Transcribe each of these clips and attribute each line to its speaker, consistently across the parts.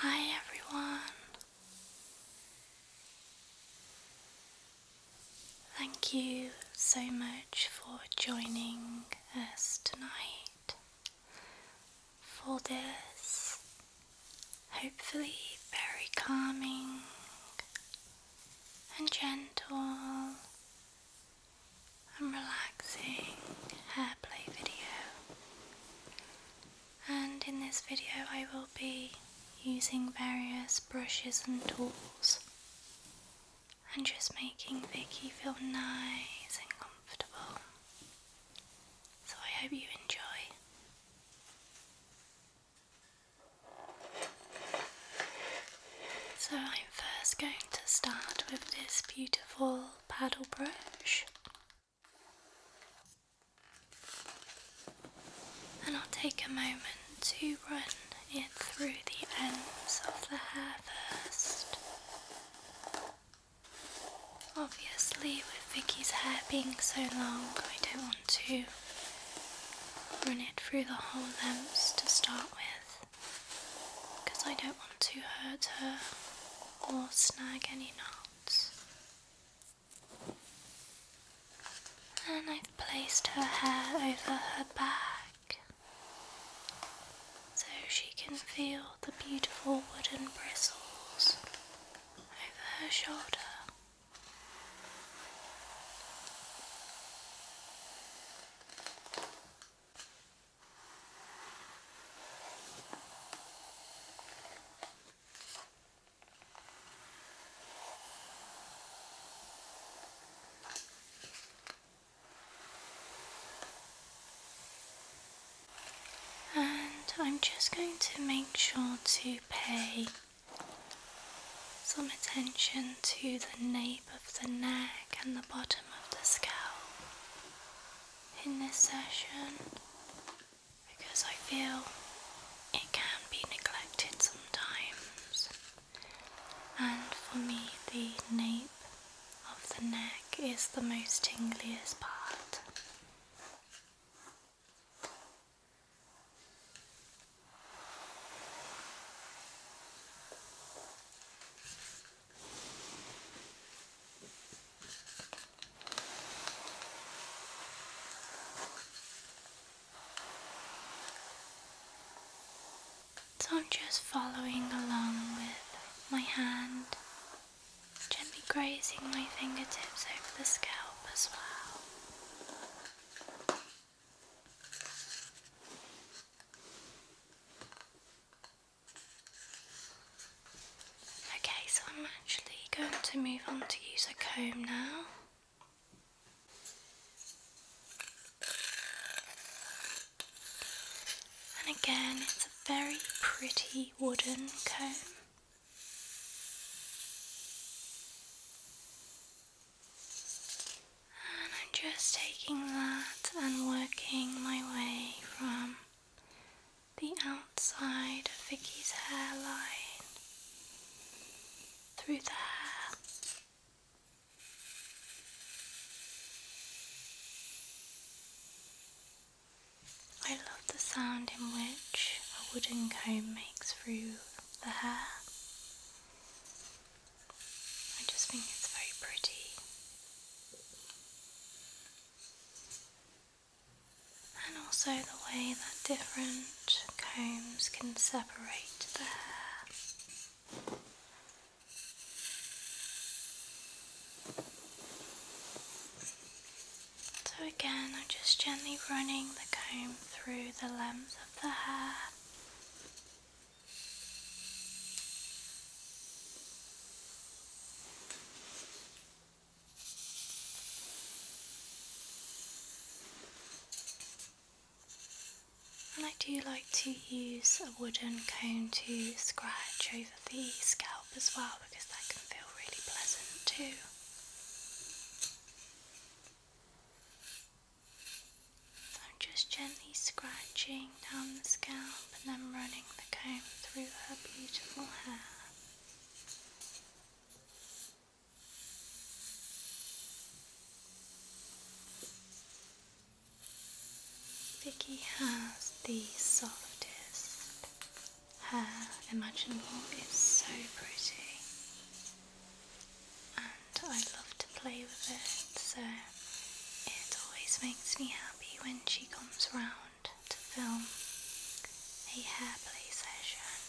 Speaker 1: Hi, everyone. Thank you so much for joining us tonight for this hopefully very calming and gentle and relaxing hairplay video and in this video I will be using various brushes and tools and just making Vicky feel nice and comfortable. So I hope you enjoy. So I'm first going to start with this beautiful paddle brush. And I'll take a moment to run it through the ends of the hair first. Obviously, with Vicky's hair being so long, I don't want to run it through the whole lengths to start with because I don't want to hurt her or snag any knots. And I've placed her hair over her back so she can feel the beautiful wooden bristles over her shoulder. And I'm just going to make sure to pay some attention to the nape of the neck and the bottom of the scalp in this session because I feel it can be neglected sometimes. And for me, the nape of the neck is the most tingliest part. So I'm just following along with my hand, gently grazing my fingertips over the scalp as well. Okay, so I'm actually going to move on to use a comb now. And again, it's a very pretty wooden comb. And I'm just taking that and working my way from the outside of Vicky's hairline through the hair. I love the sound in which a wooden comb makes through the hair. I just think it's very pretty and also the way that different combs can separate the hair. So, again, I'm just gently running the comb through the lengths of the hair. And I do like to use a wooden cone to scratch over the scalp as well because that can feel really pleasant too. I'm just gently scratching down the scalp and then running the comb through her beautiful hair. Vicky has the softest hair imaginable. It's so pretty, and I love to play with it. So it always makes me happy when she comes round to film a hair play session.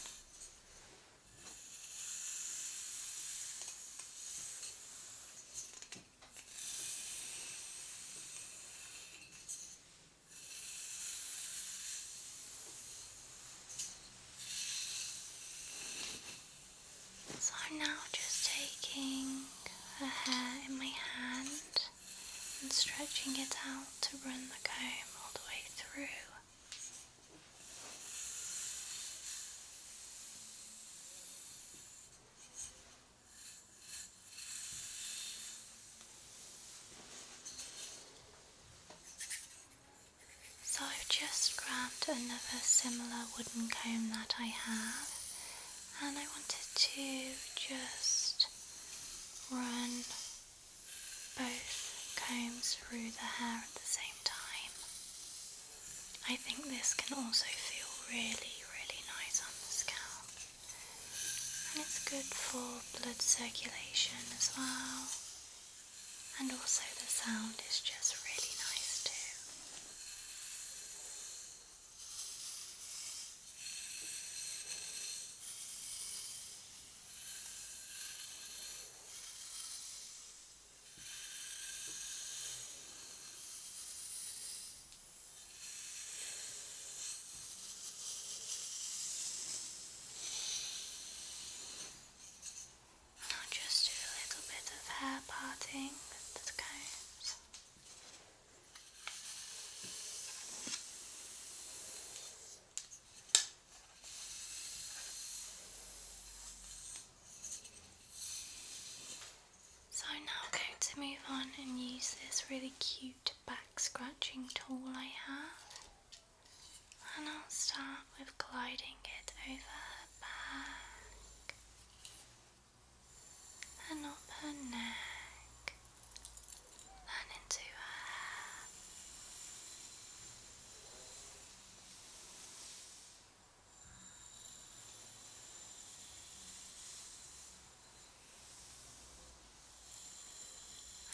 Speaker 1: So I'm now just taking the hair in my hand and stretching it out to run the comb all the way through. So I've just grabbed another similar wooden comb that I have and I wanted to just run both combs through the hair at the same time. I think this can also feel really, really nice on the scalp, and it's good for blood circulation as well. And also, the sound is just really nice too. Now just do a little bit of hair parting, that kind. So now I'm going to move on and use this really cute back scratching tool I have. And I'll start with gliding it over her back and up her neck and into her hair.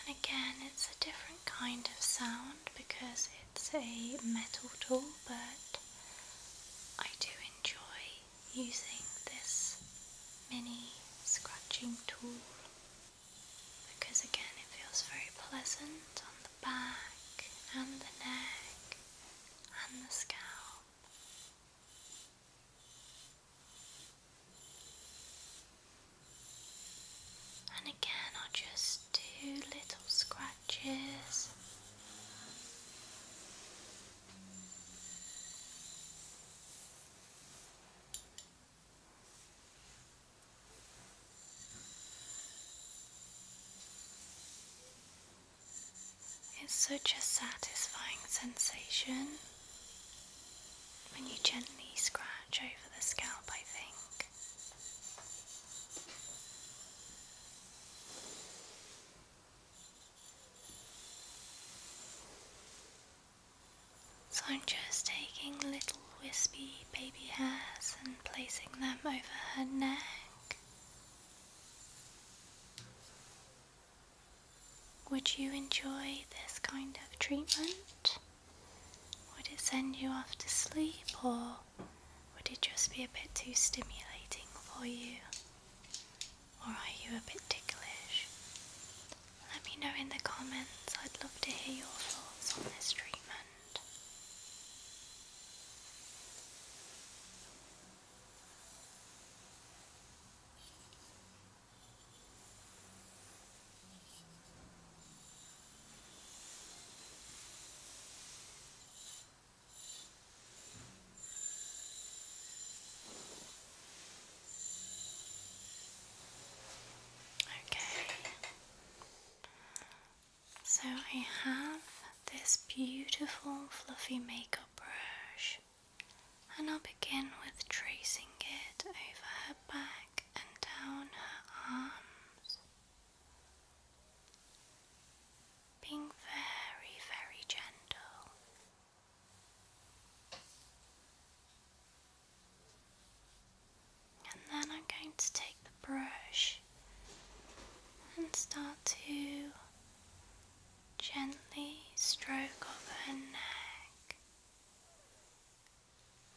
Speaker 1: And again, it's a different kind of sound because it's a metal tool, but I do enjoy using this mini scratching tool because again it feels very pleasant on the back and the neck and the scalp. And again, I'll just do little scratches it's such a satisfying sensation when you gently scratch over the scalp, I think. So I'm just taking little wispy baby hairs and placing them over her neck. Would you enjoy this kind of treatment? Would it send you off to sleep or would it just be a bit too stimulating for you? or are you a bit ticklish? Let me know in the comments, I'd love to hear your thoughts on this treatment. Okay, so I have this beautiful fluffy makeup brush, and I'll begin with tracing it over her back and down her arms being very, very gentle. And then I'm going to take the brush and start to gently stroke off her neck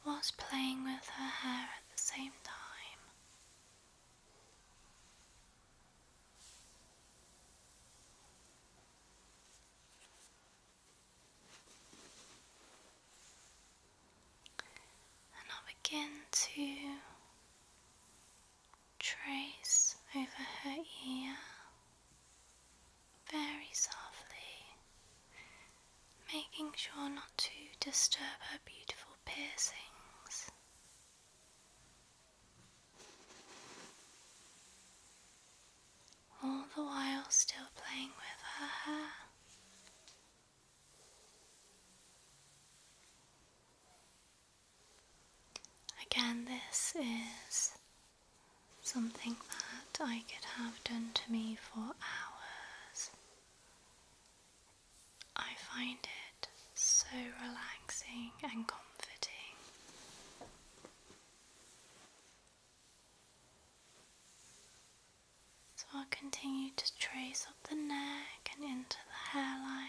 Speaker 1: whilst playing with her hair at the same time. And i begin to trace over her ear very softly, making sure not to disturb her beautiful piercings all the while still playing with her hair. Again, this is something that I could have done to me for hours. I find it so relaxing and comforting. So I'll continue to trace up the neck and into the hairline.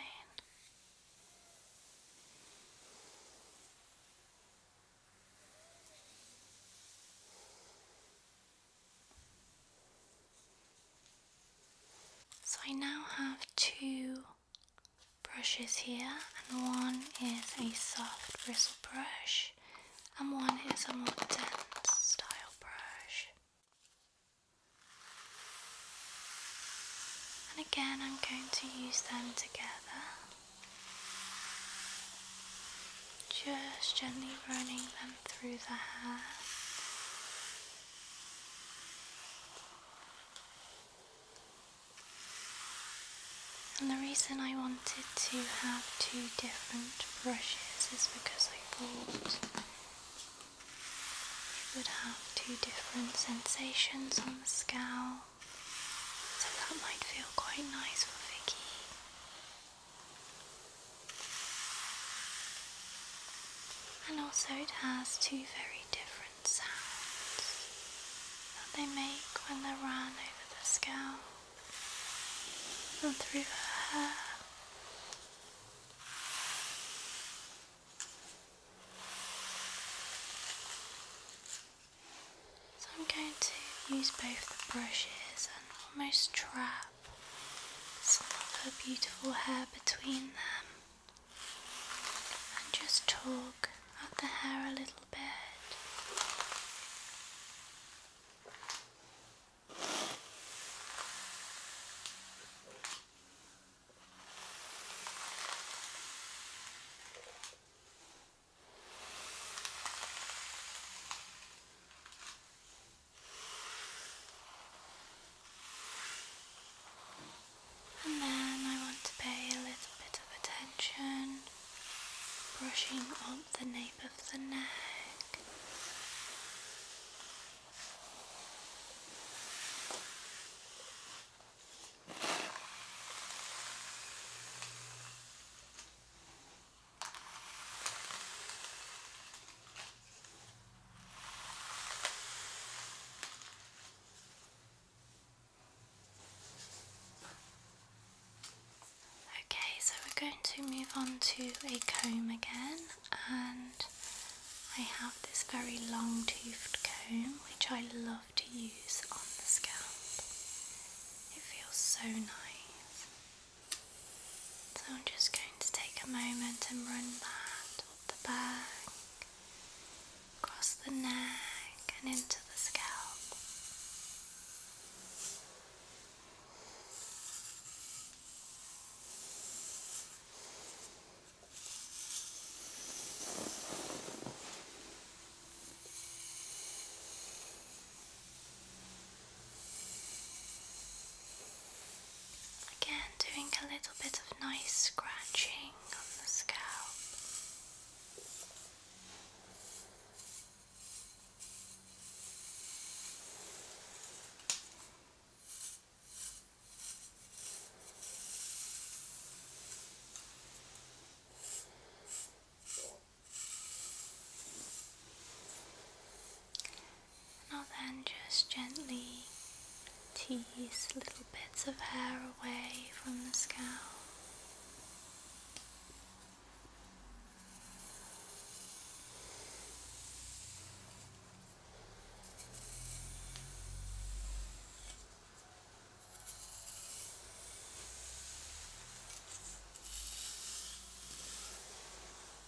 Speaker 1: So I now have two brushes here and one is a soft bristle brush and one is a more dense style brush. And again I'm going to use them together. Just gently running them through the hair. And the reason I wanted to have two different brushes is because I thought it would have two different sensations on the scalp, so that might feel quite nice for Vicky. And also, it has two very different sounds that they make when they run over the scalp and through her hair. So I'm going to use both the brushes and almost trap some of her beautiful hair between them and just talk at the hair a little bit. And then I want to pay a little bit of attention, brushing up the nape of the neck. Okay, so we're going to move on to a comb again, and I have this very long toothed comb which I love to use on the scalp. It feels so nice. So I'm just going to take a moment and run that the back, across the neck, and into the scalp. Good. Again, doing a little bit of nice scratching on the scalp. Now then, just gently tease little bits of hair away from the scalp.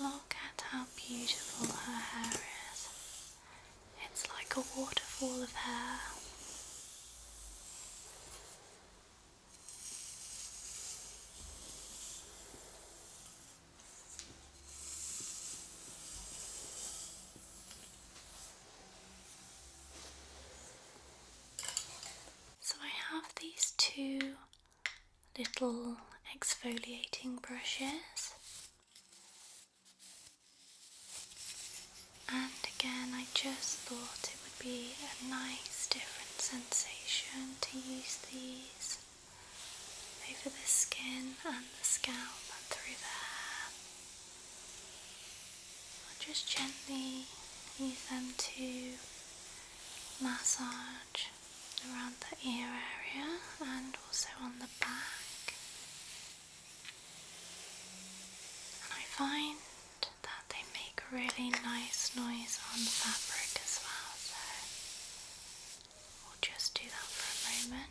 Speaker 1: Look at how beautiful her hair is. It's like a waterfall of hair. So I have these two little exfoliating brushes. And again, I just thought it would be a nice different sensation to use these over the skin and the scalp and through the hair. I'll just gently use them to massage around the ear area and also on the back. And I find that they make really nice noise on fabric as well, so we'll just do that for a moment.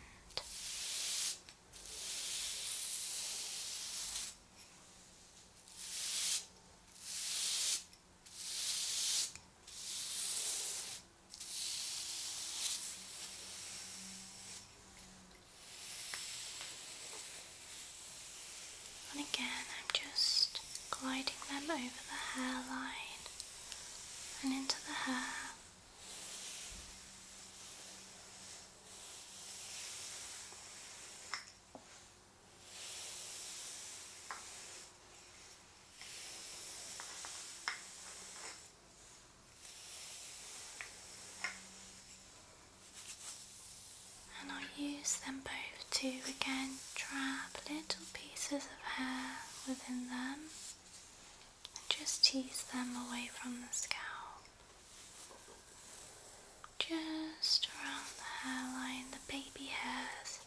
Speaker 1: And again, I'm just gliding them over the hairline and into the hair. And i use them both to again trap little pieces of hair within them and just tease them away from the scalp. Just around the hairline, the baby hairs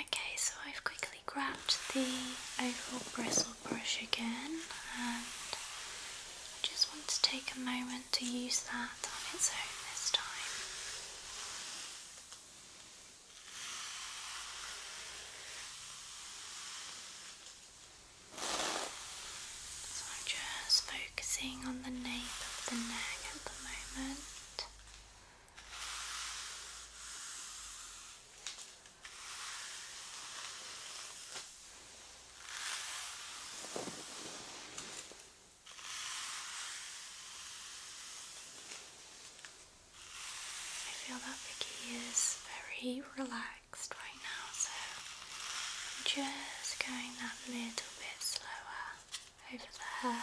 Speaker 1: Okay, so I've quickly grabbed the oval bristle brush again, and I just want to take a moment to use that on its own this time. So I'm just focusing on the nape of the neck at the moment. I feel that Vicky is very relaxed right now, so I'm just going that little bit slower over the hair.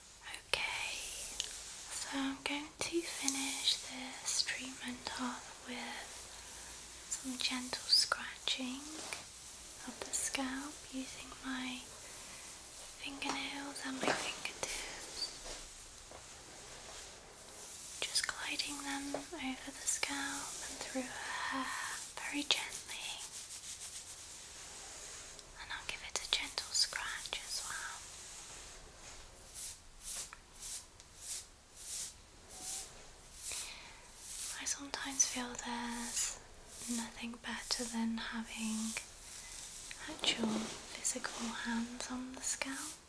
Speaker 1: Okay, so I'm going to finish this treatment off with some gentle scratching of the scalp using my fingernails and my fingertips. Just gliding them over the scalp and through her hair very gently. And I'll give it a gentle scratch as well. I sometimes feel there's nothing better than having actual physical hands on the scalp,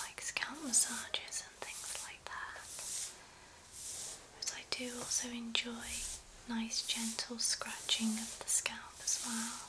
Speaker 1: like scalp massages and things like that. But I do also enjoy nice gentle scratching of the scalp as well.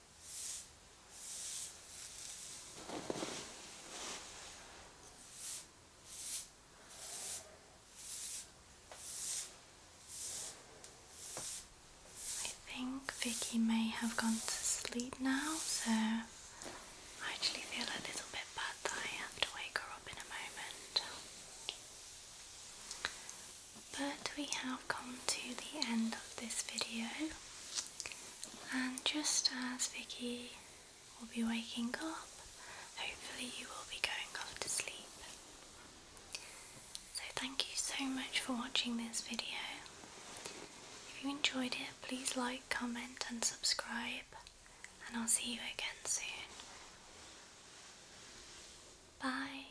Speaker 1: think Vicky may have gone to sleep now, so I actually feel a little bit bad that I have to wake her up in a moment. But we have come to the end of this video, and just as Vicky will be waking up, hopefully, you will be going off to sleep. So, thank you so much for watching this video. If you enjoyed it, please like, comment, and subscribe, and I'll see you again soon. Bye.